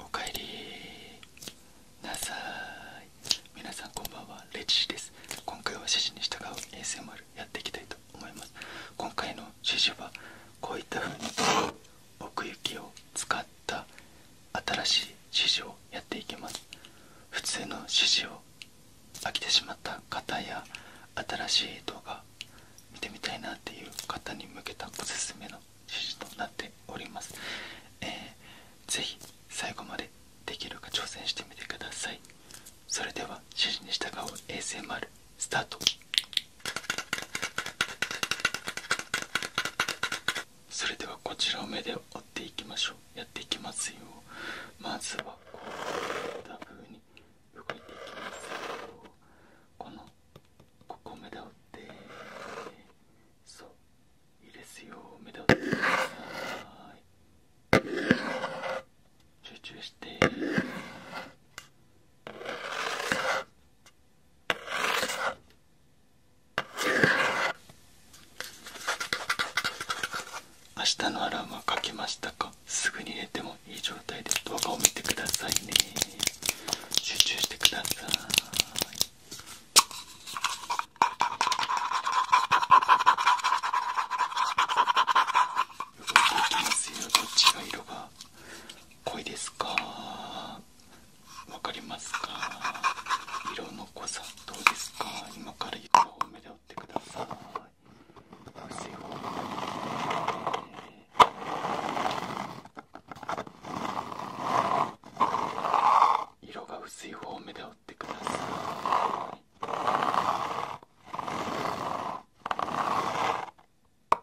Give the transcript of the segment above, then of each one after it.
おかえりなさい皆さんこんばんはレッです今回は指示に従う衛 s 丸やっていきたいと思います今回の指示はこういった風に奥行きを使った新しい指示をやっていきます普通の指示を飽きてしまった方や新しい動画見てみたいなっていう方に向けたおすすめの指示となっております、え是非最後までできるか挑戦してみてくださいそれでは指示に従う ASMR スタートそれではこちらを目で折っていきましょうやっていきますよまずはこういった風に動いていきますよこのここ目で折ってそう入れですよ目で折ってください集中して明日のアラームはかけましたかすぐに入れてもいい状態で動画を見てくださいね集中してください動いていきますよどっちの色がが濃いですかわかりますか色の濃さどうですか今から色を目で追ってください美味しい方に色が薄い方を目で追ってくださいこ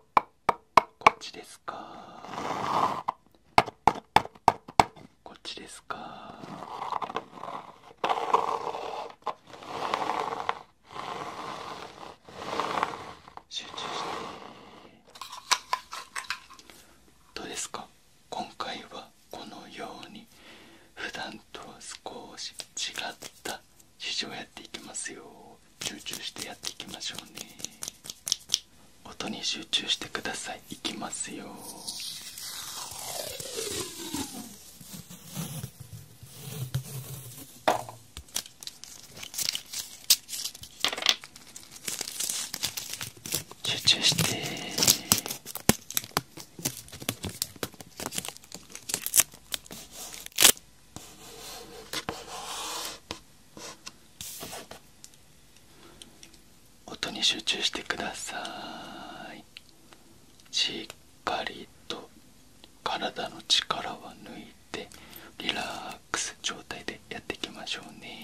っちですかこっちですか集中してどうですか今回はこのように普段と少し違った試乗をやっていきますよ集中してやっていきましょうね音に集中してくださいいきますよ集中して音に集中してくださいしっかりと体の力は抜いてリラックス状態でやっていきましょうね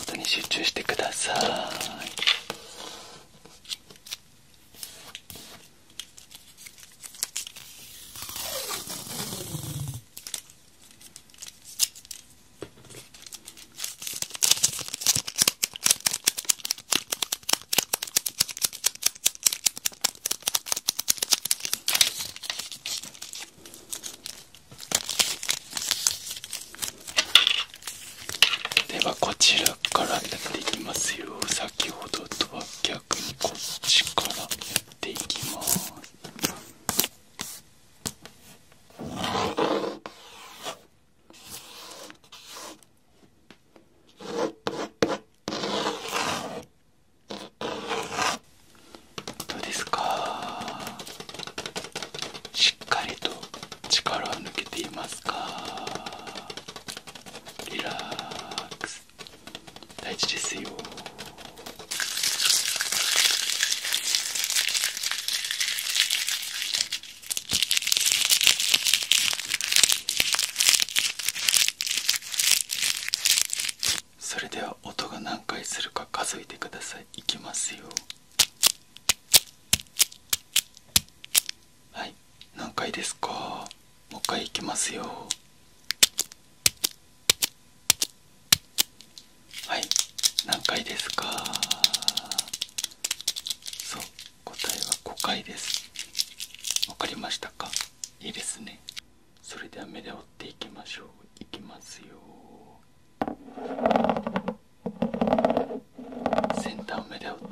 音に集中してください。ではこちらからやっていきますよ先ほどとは逆こっちからやっていきますどうですかしっかりと力を抜けていますかリラックス大事ですよそれでは音が何回するか数えてくださいいきますよはい何回ですかもう一回いきますよはい何回ですかそう答えは5回ですわかりましたかいいですねそれでは目で追っていきましょういきますよ先端を目で追って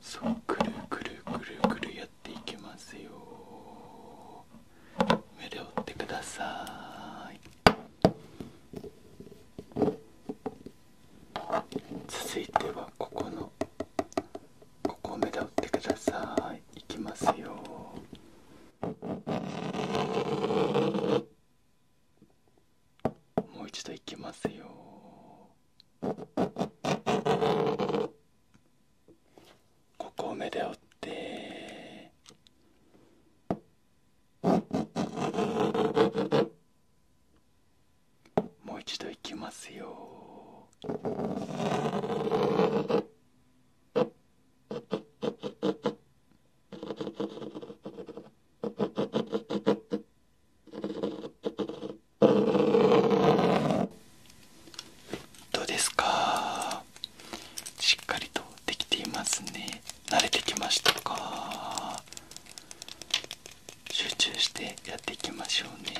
そうくるくるくるくるやっていきますよ目で追ってください続いてはここのここを目で追ってくださいいきますよもう一度いきますよここを目で追ってもう一度いきますよどうですかしっかりとできていますね慣れてきましたか集中してやっていきましょうね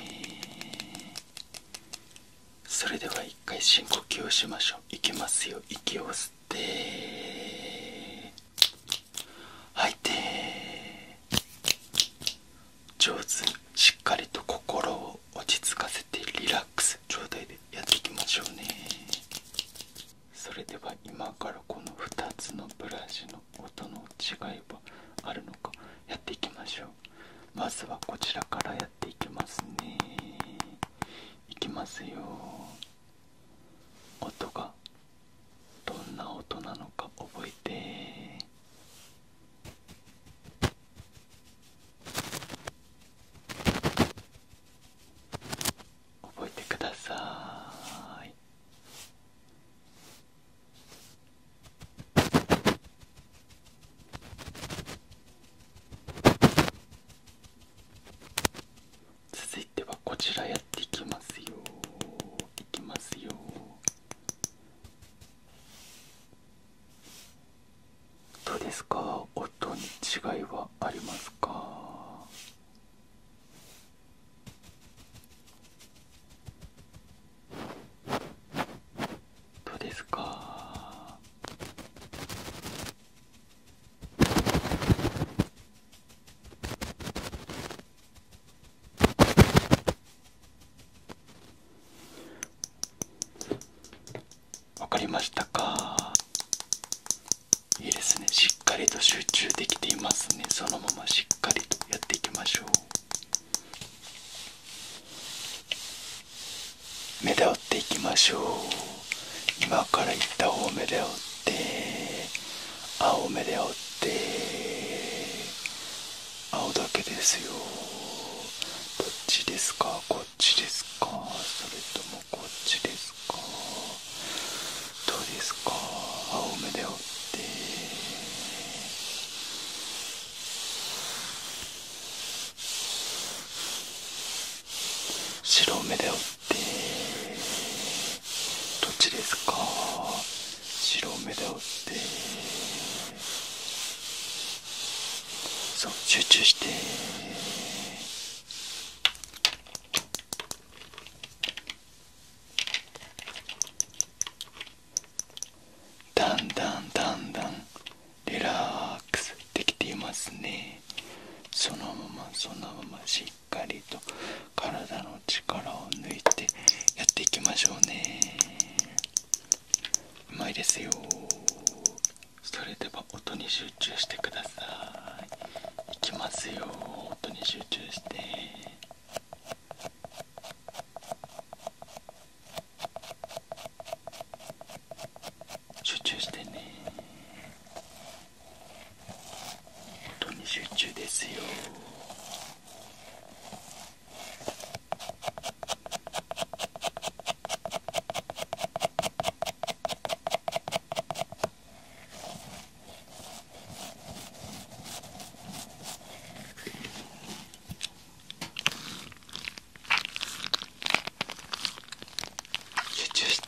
それでは一回深呼吸をしましょういきますよ息を吸って。吸吐いて上手にしっかりと心を落ち着かせてリラックス状態でやっていきましょうねそれでは今からこの2つのブラシの音の違いはあるのかやっていきましょうまずはこちらからやっていきますねいきますよ音がどんな音なのか覚えて覚えてください続いてはこちらやっていきますよいきますよどうですか音に違いはありますかどうですかわかりましたかいいですねしっかりと集中できていますねそのまましっかりとやっていきましょう目で追っていきましょう今から行った青目で追って青目で追って青だけですよどっちですかこっちですかそれともこっちですかどうですか青目で追って白目でよってどっちですか白目でよってそう集中してだんだんだんだんリラックスできていますねそのままそのまましっかりと体の力を抜いてやっていきましょうねうまいですよそれでは音に集中してくださいいきますよ音に集中して集中してね当に集中ですよ集中して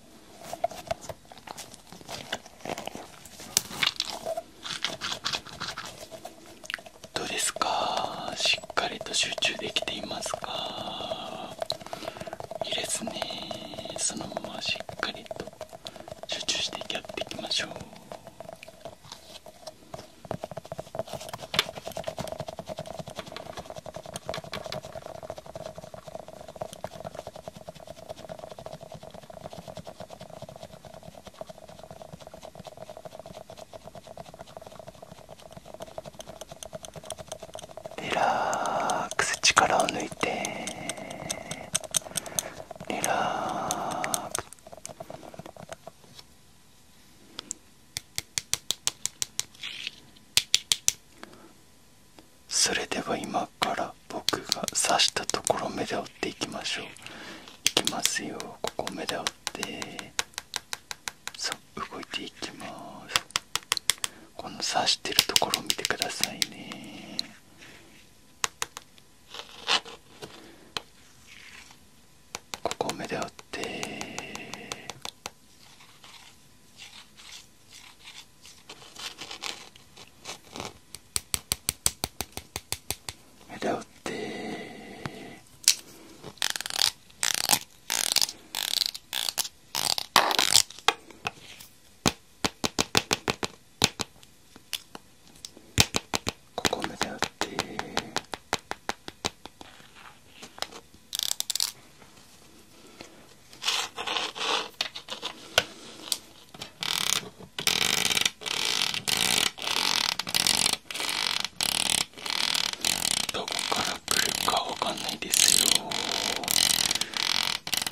どうですかしっかりと集中できていますか入れずにそのまましっかりと集中してやっていきましょうリラックス力を抜いてリラックスそれでは今から僕が刺したところ目で折っていきましょういきますよここ目で折ってそう動いていきますこの刺してるところ見てくださいねここ目で折って枝打ってここまで打ってどこから来るかわかんないですよ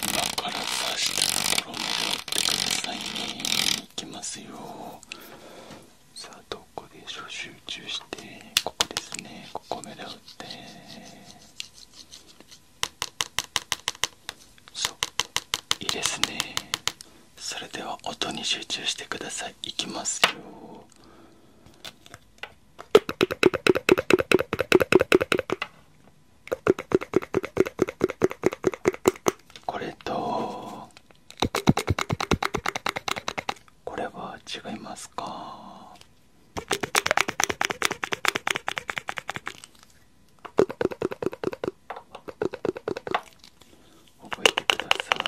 今から刺したところまで追ってくださいねに行きますよさあどこでしょう、集中してここですねここ目でってそういいですねそれでは音に集中してくださいいきますよこれとこれは違いますか覚えてください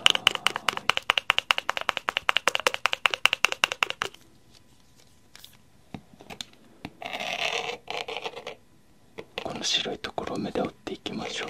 この白いところを目で追っていきましょう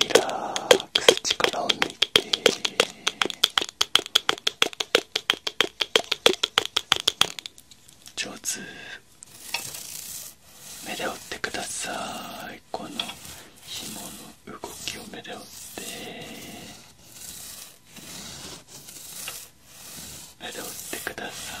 リラックス力を抜いて上手目で追ってくださいこの紐の動きを目で追って目で追ってください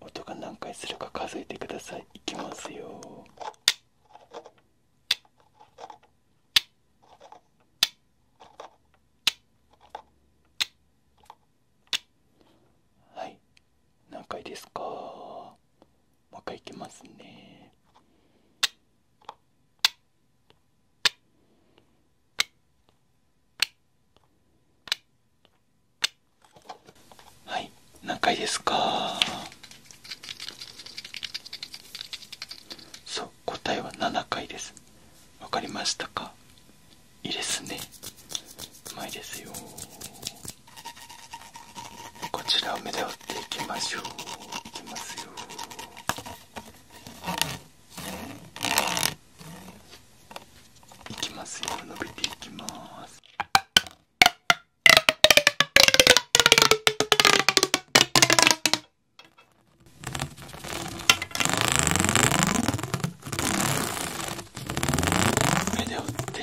音が何回するか数えてくださいいきますよはい何回ですかもう一回いきますねはい何回ですかそう答えは7回ですわかりましたかいいですねうまいですよこちら梅田いきましょういきますよいきますよ伸びていきます目で打って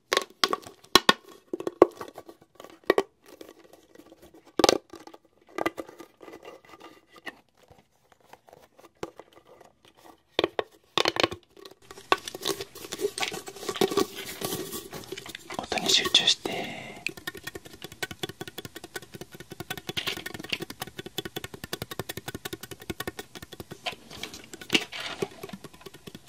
音に集中して。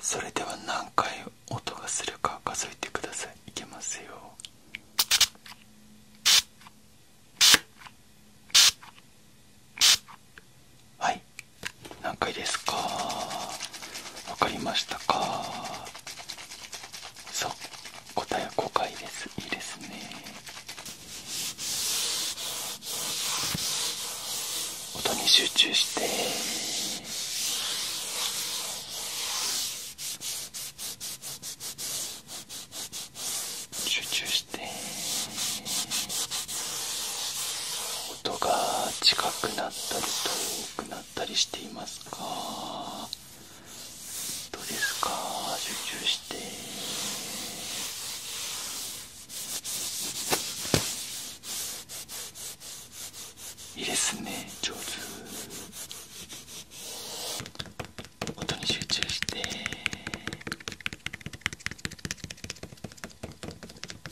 それでは何回音がするか数えてくださいいけますよはい何回ですか分かりましたかそう答えは5回ですいいですね音に集中して集中して音が近くなったり遠くなったり。なったりしていますかどうですか集中していいですね上手音に集中して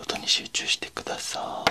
音に集中してください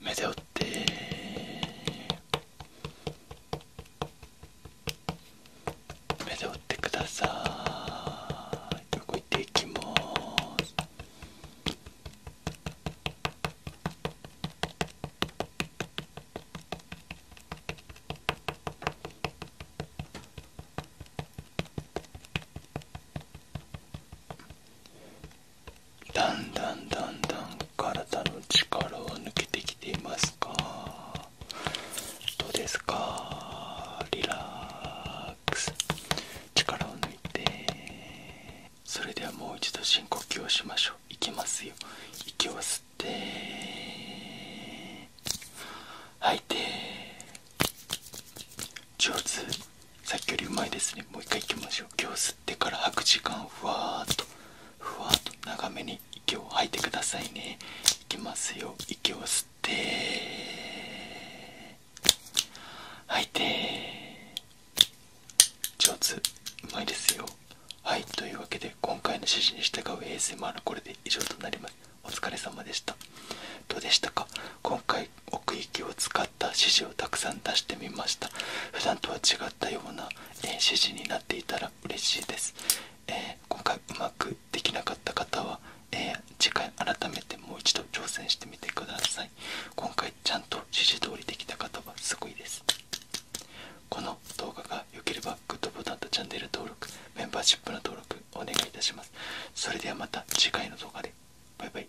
目で追って目で追ってください動いていきますだんだんだんだん体の力を抜けてきていますかどうですかリラックス力を抜いてそれではもう一度深呼吸をしましょういきますよ息を吸って吐いて上手さっきよりうまいですねもう一回いきましょう今日吸ってから吐く時間ふわっとふわっと長めに息を吐いてくださいねいきますよ息を吸って吐いて上手うまいですよはいというわけで今回の指示に従う ASMR のこれで以上となりますお疲れ様でしたどうでしたか今回奥行きを使った指示をたくさん出してみました普段とは違ったような、え指示になっていたら嬉しいです、え今回うまくできなかった方は、え次回改めてもう一度挑戦してみてください今回ちゃんと指示通りできた方はすごいですこの動画が良ければグッドボタンとチャンネル登録メンバーシップの登録お願いいたしますそれではまた次回の動画でバイバイ